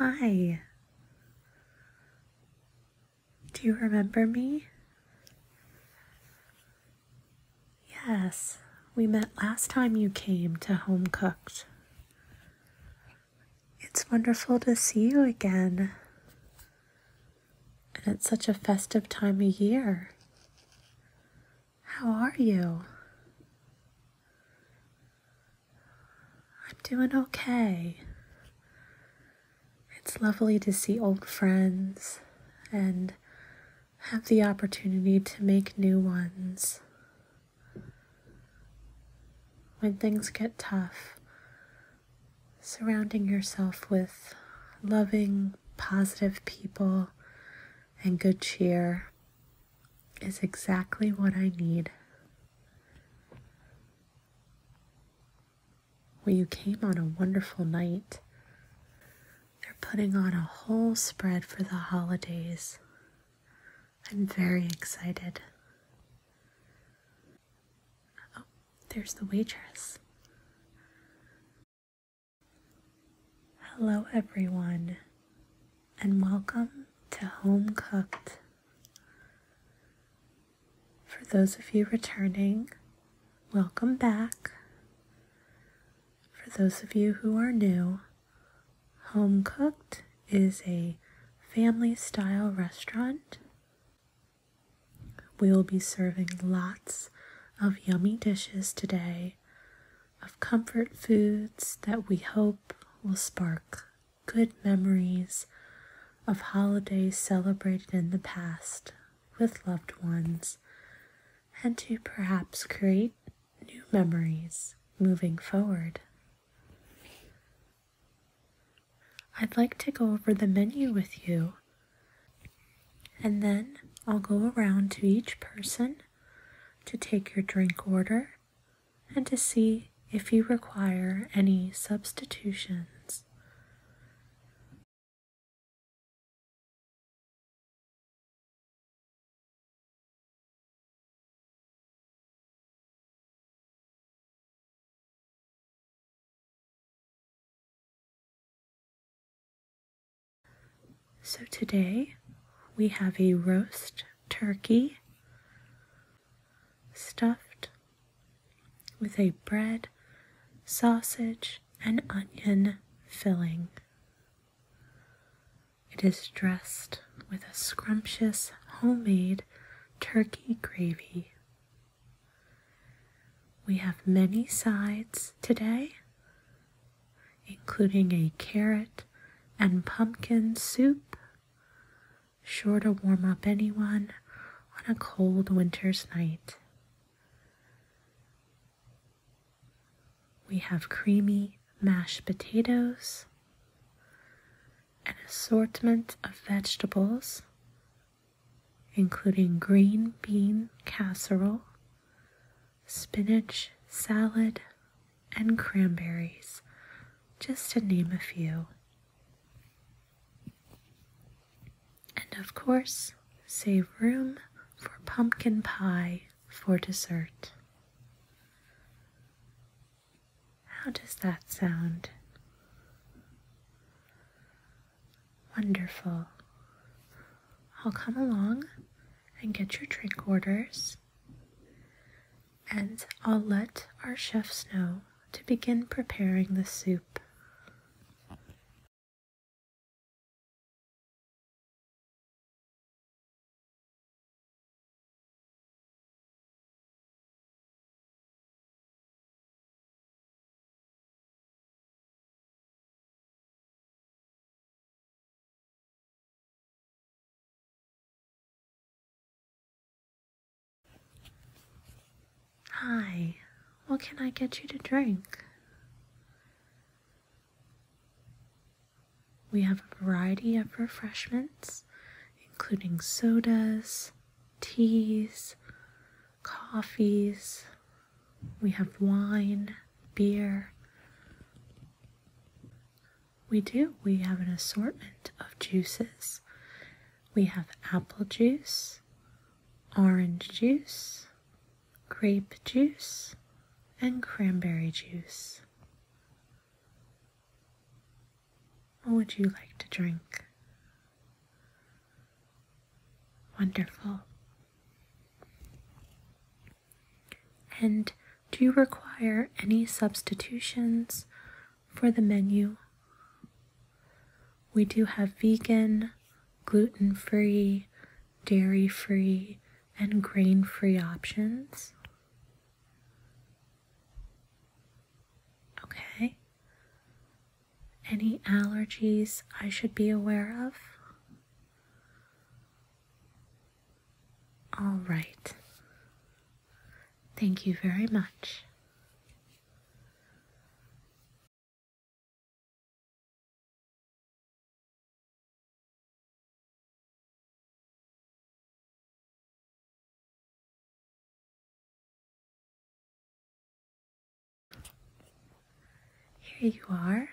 Hi. Do you remember me? Yes, we met last time you came to Home Cooked. It's wonderful to see you again. And it's such a festive time of year. How are you? I'm doing okay. It's lovely to see old friends and have the opportunity to make new ones. When things get tough, surrounding yourself with loving, positive people and good cheer is exactly what I need. Well, you came on a wonderful night. They're putting on a whole spread for the holidays. I'm very excited. Oh, there's the waitress. Hello, everyone, and welcome to Home Cooked. For those of you returning, welcome back. For those of you who are new, Home Cooked is a family style restaurant. We will be serving lots of yummy dishes today of comfort foods that we hope will spark good memories of holidays celebrated in the past with loved ones and to perhaps create new memories moving forward. I'd like to go over the menu with you and then I'll go around to each person to take your drink order and to see if you require any substitutions. So today we have a roast turkey stuffed with a bread, sausage, and onion filling. It is dressed with a scrumptious homemade turkey gravy. We have many sides today, including a carrot and pumpkin soup, sure to warm up anyone on a cold winter's night. We have creamy mashed potatoes, an assortment of vegetables, including green bean casserole, spinach salad, and cranberries, just to name a few. And of course, save room for pumpkin pie for dessert. How does that sound? Wonderful. I'll come along and get your drink orders, and I'll let our chefs know to begin preparing the soup. Hi, what can I get you to drink? We have a variety of refreshments, including sodas, teas, coffees, we have wine, beer. We do, we have an assortment of juices we have apple juice, orange juice, grape juice, and cranberry juice. What would you like to drink? Wonderful. And do you require any substitutions for the menu. We do have vegan, gluten free, dairy free, and grain free options. Okay. Any allergies I should be aware of? All right. Thank you very much. Here you are.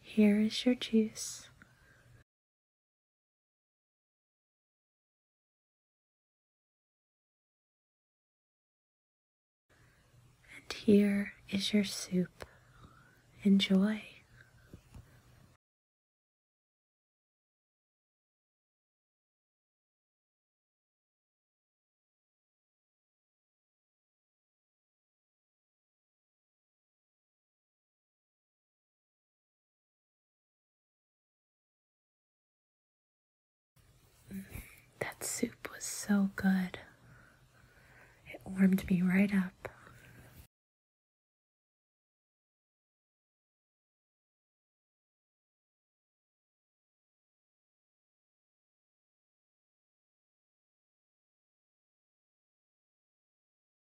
Here is your juice. And here is your soup. Enjoy. That soup was so good. It warmed me right up.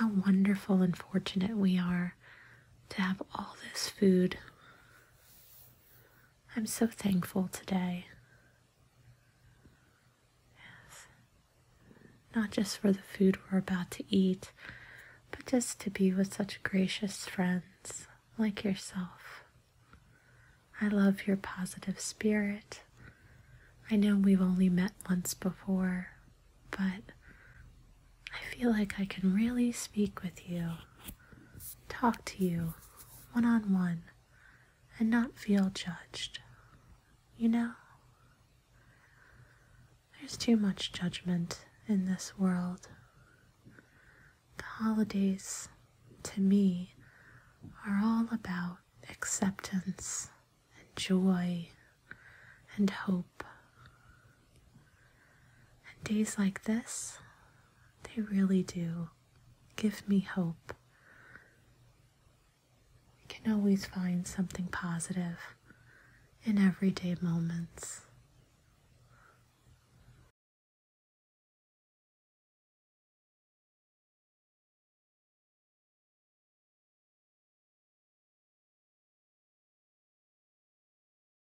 How wonderful and fortunate we are to have all this food. I'm so thankful today. Yes. Not just for the food we're about to eat, but just to be with such gracious friends like yourself. I love your positive spirit. I know we've only met once before, but I feel like I can really speak with you, talk to you one on one and not feel judged. You know? There's too much judgment in this world. The holidays, to me, are all about acceptance and joy and hope. And days like this, they really do Give me hope. We can always find something positive in everyday moments.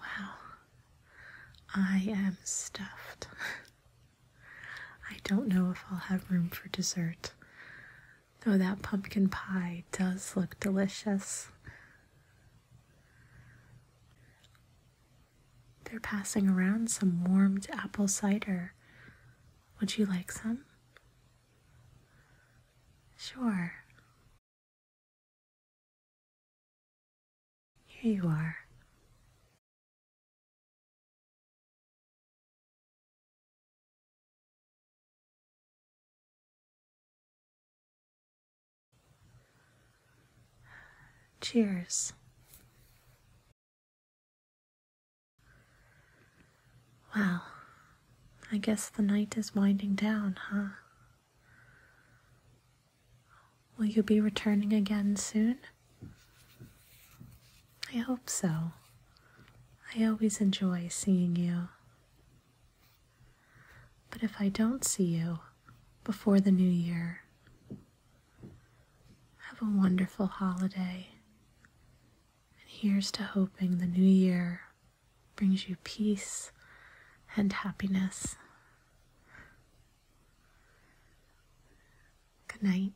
Wow, I am stuffed. I don't know if I'll have room for dessert, though that pumpkin pie does look delicious. They're passing around some warmed apple cider. Would you like some? Sure. Here you are. Cheers. Well, I guess the night is winding down, huh? Will you be returning again soon? I hope so. I always enjoy seeing you. But if I don't see you before the new year, have a wonderful holiday. And here's to hoping the new year brings you peace and happiness. Good night.